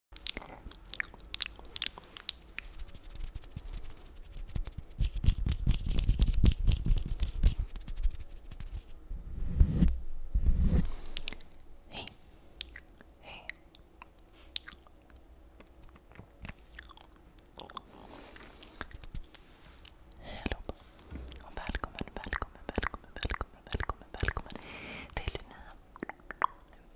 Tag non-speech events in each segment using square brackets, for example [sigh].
Hej. Hej. Hej allihopa. Och välkommen, välkommen, välkommen, välkommen, välkommen, välkommen till den nya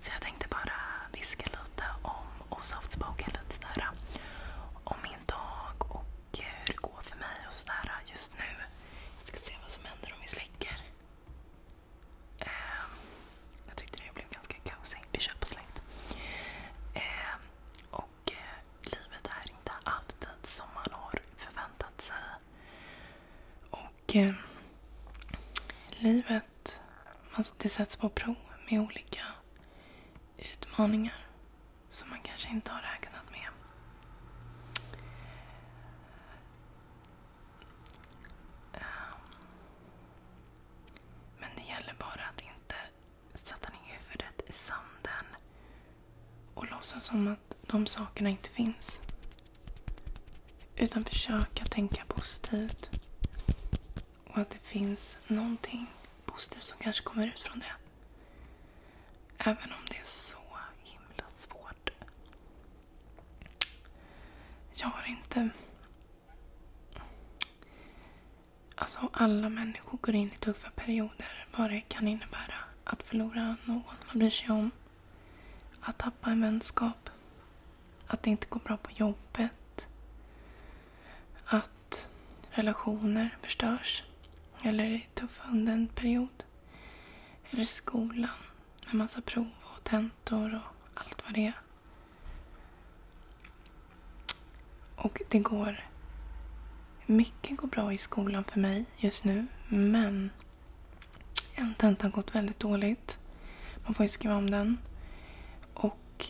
Så jag tänkte bara viska lite om och softspoken lite sådär. Om min dag och eh, hur det går för mig och sådär just nu. Jag ska se vad som händer om vi släcker. Ehm, jag tyckte det blev ganska kaosigt. Vi kör på släkt. Ehm, och eh, livet är inte alltid som man har förväntat sig. Och ehm, livet sätt. Det sätts på prov med olika utmaningar som man kanske inte har räknat med. Ehm, men det gäller bara att inte sätta ner huvudet i sanden och låtsas som att de sakerna inte finns. Utan försöka tänka positivt. Och att det finns någonting positivt som kanske kommer ut från det. Även om det är så himla svårt. Jag har inte... Alltså alla människor går in i tuffa perioder. Vad det kan innebära att förlora någon man bryr sig om. Att tappa en vänskap. Att det inte går bra på jobbet. Att relationer förstörs. Eller är tuffa under en period. Eller skolan med massa prov och tentor och allt vad det är. Och det går... Mycket går bra i skolan för mig just nu, men en tenta har gått väldigt dåligt. Man får ju skriva om den. Och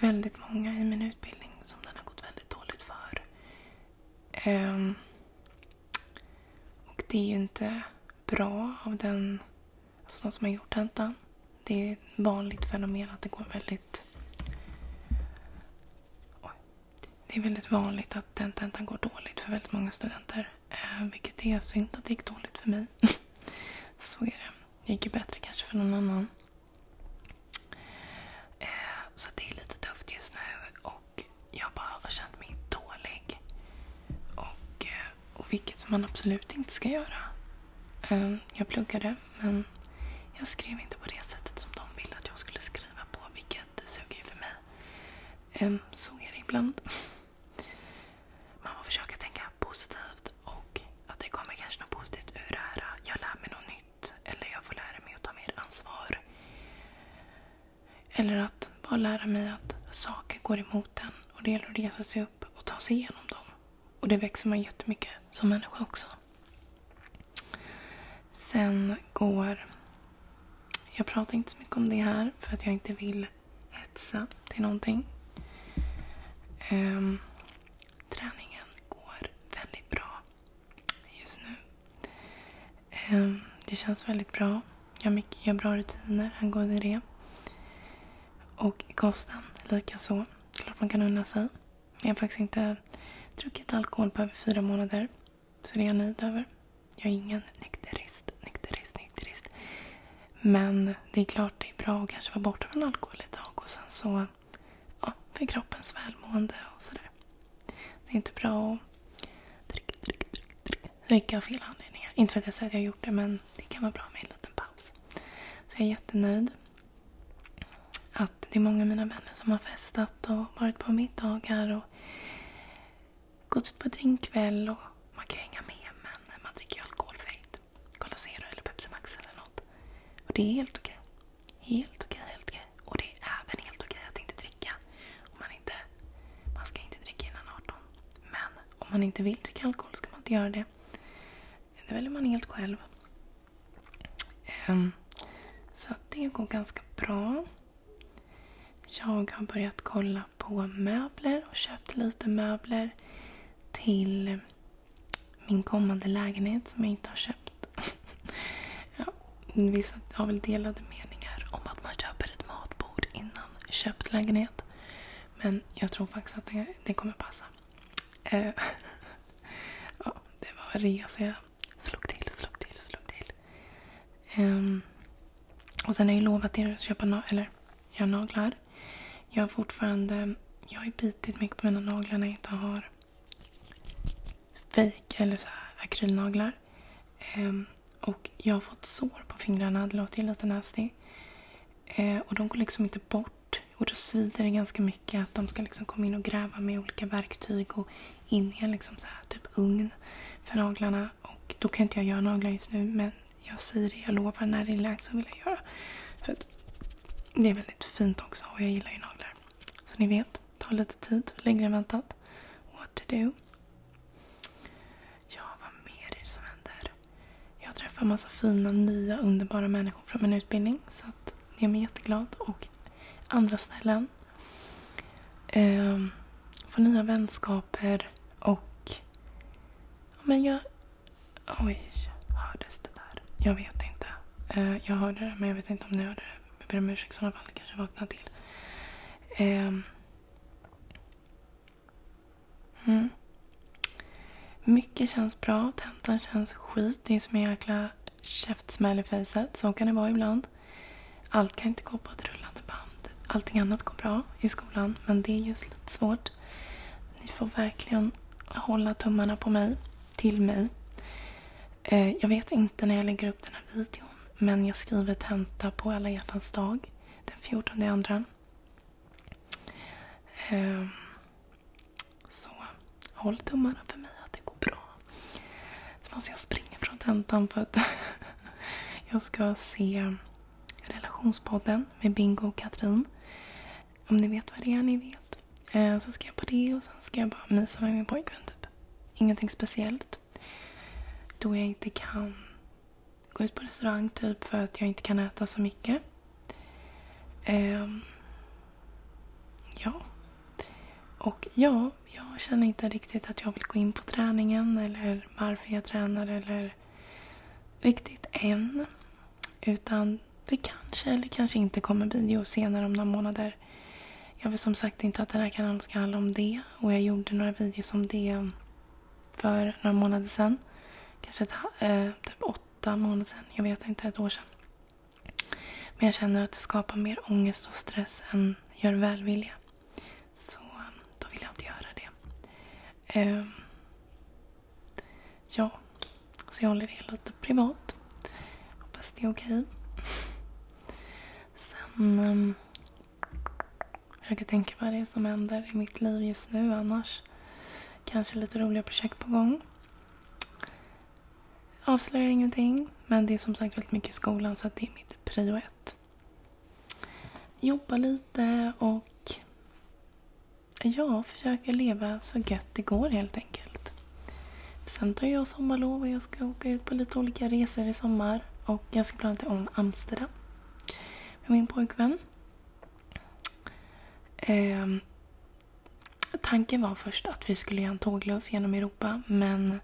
väldigt många i min utbildning som den har gått väldigt dåligt för. Um, och det är ju inte bra av den, alltså de som har gjort tentan. Det är ett vanligt fenomen att det går väldigt... det är väldigt vanligt att den tentan går dåligt för väldigt många studenter. Eh, vilket är synd att det gick dåligt för mig. [laughs] Så är det. Det gick ju bättre kanske för någon annan. Eh, så det är lite tufft just nu och jag bara har känt mig dålig. Och, eh, och vilket man absolut inte ska göra. Jag pluggade men jag skrev inte på det sättet som de ville att jag skulle skriva på vilket suger ju för mig. Så är det ibland. [laughs] Man får försöka tänka positivt och att det kommer kanske något positivt ur det här. Jag lär mig något nytt. Eller jag får lära mig att ta mer ansvar. Eller att bara lära mig att saker går emot en och det gäller att resa sig upp och ta sig igenom dem. Och det växer man jättemycket som människa också. Sen går... Jag pratar inte så mycket om det här för att jag inte vill hetsa till någonting. Um, träningen går väldigt bra just nu. Um, det känns väldigt bra. Jag har, mycket, jag har bra rutiner angående det. Och kosten likaså. Klart man kan unna sig. Jag har faktiskt inte druckit alkohol på över fyra månader. Så det är jag nöjd över. Jag är ingen nykterist, nykterist, nykterist. Men det är klart det är bra att kanske vara borta från alkohol ett tag och sen så ja, för kroppens välmående och sådär. Det är inte bra att dricka, dricka, dricka, dricka, dricka av fel anledningar. Inte för att jag säger att jag har gjort det, men det kan vara bra med en liten paus. Så jag är jättenöjd att det är många av mina vänner som har festat och varit på middagar och gått ut på drinkkväll och man kan ju hänga med men man dricker ju alkoholfritt. Cola Zero eller Pepsi Max eller något. Och det är helt okej. Helt okej, helt okej. Och det är även helt okej att inte dricka. Om man, inte, man ska inte dricka innan 18. Men om man inte vill dricka alkohol ska man inte göra det. Det väljer man helt själv. Um, så det går ganska bra. Jag har börjat kolla på möbler och köpt lite möbler till min kommande lägenhet som jag inte har köpt. [laughs] ja, vissa har väl delade meningar om att man köper ett matbord innan köpt lägenhet. Men jag tror faktiskt att det, det kommer passa. Eh, [laughs] ja, det var en resa jag slog till, slog till, slog till. Um, och sen har jag ju lovat er att köpa na eller, göra naglar. Jag har fortfarande... Jag har ju bitit mycket på mina naglar när jag inte har fejk eller så akrylnaglar. Um, och jag har fått sår på fingrarna, det låter ju lite nasty. Uh, och de går liksom inte bort. Och då svider det ganska mycket att de ska liksom komma in och gräva med olika verktyg och in i en liksom så här, typ ugn för naglarna. Och då kan inte jag göra naglar just nu men jag säger det, jag lovar, när det är läge så vill jag göra. För det är väldigt fint också och jag gillar ju naglar. Så ni vet, tar lite tid, längre än väntat. What to do. Ja, vad mer är det som händer? Jag träffar massa fina, nya, underbara människor från min utbildning. Så att jag är jätteglad. Och andra ställen Eh, få nya vänskaper och... Men jag... Oj, hördes det där? Jag vet inte. Eh, jag hörde det, men jag vet inte om ni hörde det. Jag ber om ursäkt i sådana fall. kanske vaknade till. Eh, mm. Mycket känns bra. Tentan känns skit. Det är som en jäkla käftsmäll i fejset, så kan det vara ibland. Allt kan inte gå på ett rullande band. Allting annat går bra i skolan, men det är just lite svårt. Ni får verkligen hålla tummarna på mig, till mig. Eh, jag vet inte när jag lägger upp den här videon, men jag skriver tenta på alla hjärtans dag den 14 andra. Ehm, så håll tummarna för mig att det går bra. Så måste jag springa från tentan för att [laughs] jag ska se Relationspodden med Bingo och Katrin. Om ni vet vad det är, ni vet. Eh, så ska jag på det och sen ska jag bara mysa med min pojkvän typ. Ingenting speciellt. Då jag inte kan gå ut på restaurang typ för att jag inte kan äta så mycket. Ehm, Ja. Och ja, jag känner inte riktigt att jag vill gå in på träningen eller varför jag tränar eller riktigt än. Utan det kanske eller kanske inte kommer video senare om några månader. Jag vill som sagt inte att den här kanalen ska handla om det och jag gjorde några videos om det för några månader sedan. Kanske ett, eh, typ åtta månader sedan, jag vet inte, ett år sedan. Men jag känner att det skapar mer ångest och stress än gör välvilja. Så då vill jag inte göra det. Eh, ja, så jag håller det lite privat. Hoppas det är okej. Sen um, försöker tänka vad det är som händer i mitt liv just nu annars. Kanske lite roliga projekt på gång avslöjar ingenting. Men det är som sagt väldigt mycket i skolan så det är mitt prio ett. Jobba lite och ja, försöka leva så gött det går helt enkelt. Sen tar jag sommarlov och jag ska åka ut på lite olika resor i sommar. Och jag ska bland annat om Amsterdam med min pojkvän. Ehm, Tanken var först att vi skulle göra en tågluff genom Europa men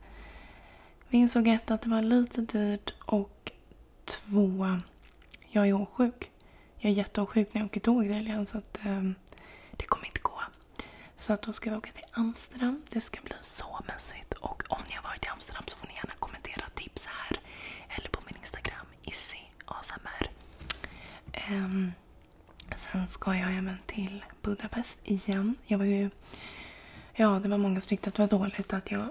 vi insåg ett att det var lite dyrt och två, jag är åksjuk. Jag är jätteåksjuk när jag åker tåg tydligen så att eh, det kommer inte gå. Så att då ska vi åka till Amsterdam. Det ska bli så mysigt. Och om ni har varit i Amsterdam så får ni gärna kommentera tips här. Eller på min Instagram, issyasmr. Um, ehm, Sen ska jag även till Budapest igen. Jag var ju... Ja, det var många som tyckte att det var dåligt att jag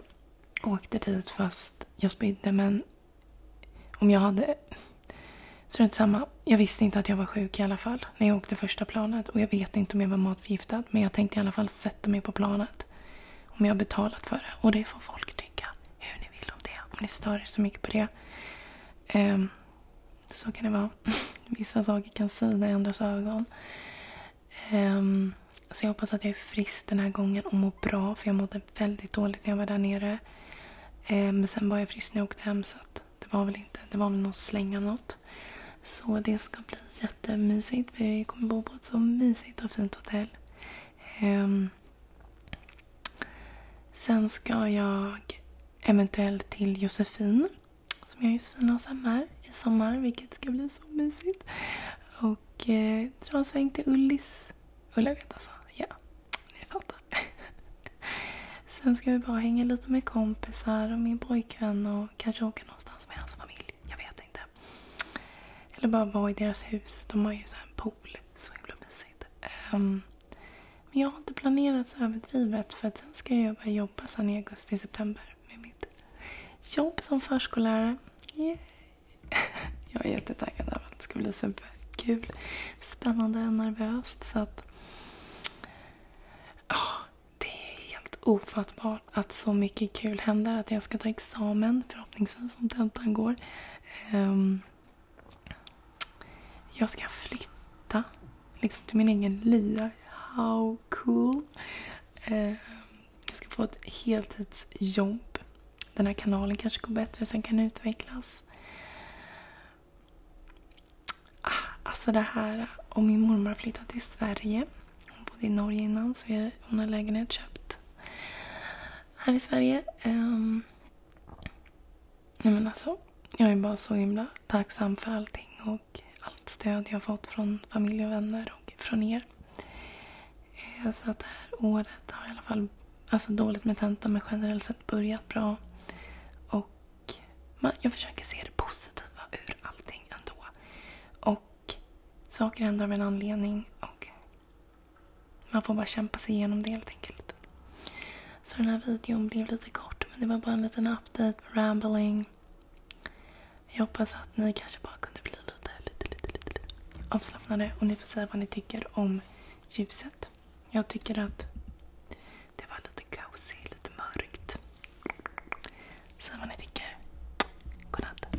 åkte dit fast jag spydde. Men om jag hade... Strunt samma. Jag visste inte att jag var sjuk i alla fall när jag åkte första planet. Och jag vet inte om jag var matförgiftad. Men jag tänkte i alla fall sätta mig på planet. Om jag har betalat för det. Och det får folk tycka hur ni vill om det. Om ni stör er så mycket på det. Um, så kan det vara. [laughs] Vissa saker kan sida i andras ögon. Um, så jag hoppas att jag är frisk den här gången och mår bra. För jag mådde väldigt dåligt när jag var där nere. Um, men sen var jag frisk när jag åkte hem så det var väl inte. Det var väl någon släng av något. Så det ska bli jättemysigt. Vi kommer bo på ett så mysigt och fint hotell. Um, Sen ska jag eventuellt till Josefin, som jag och Josefin har sommar, i sommar, vilket ska bli så mysigt. Och eh, dra en sväng till Ullis. Ullared alltså, ja. Ni fattar. [laughs] Sen ska vi bara hänga lite med kompisar och min pojkvän och kanske åka någonstans med hans familj. Jag vet inte. Eller bara vara i deras hus. De har ju så här pool. Så himla mysigt stressigt. Um, ehm, men jag har inte planerat så överdrivet för att sen ska jag börja jobba sen i augusti-september med mitt jobb som förskollärare. Yeah. [laughs] jag är jättetaggad över att det ska bli superkul, spännande och nervöst. Så att, oh, det är helt ofattbart att så mycket kul händer. Att jag ska ta examen, förhoppningsvis, om tentan går. Um, jag ska flytta liksom till min egen lya. How cool! Uh, jag ska få ett heltidsjobb. Den här kanalen kanske går bättre, och sen kan utvecklas. Ah, alltså det här, och min mormor har flyttat till Sverige. Hon bodde i Norge innan, så hon har lägenhet köpt här i Sverige. Um, men alltså, jag är bara så himla tacksam för allting och allt stöd jag fått från familj och vänner och från er. Uh, så att det här året har i alla fall, alltså dåligt med tenta men generellt sett börjat bra. Och man, jag försöker se det positiva ur allting ändå. Och saker händer av en anledning och man får bara kämpa sig igenom det helt enkelt. Så den här videon blev lite kort men det var bara en liten update, rambling. Jag hoppas att ni kanske bara kunde bli lite, lite, lite, lite avslappnade och ni får säga vad ni tycker om ljuset. Jag tycker att det var lite cozy, lite mörkt. Säg vad ni tycker. Godnatt.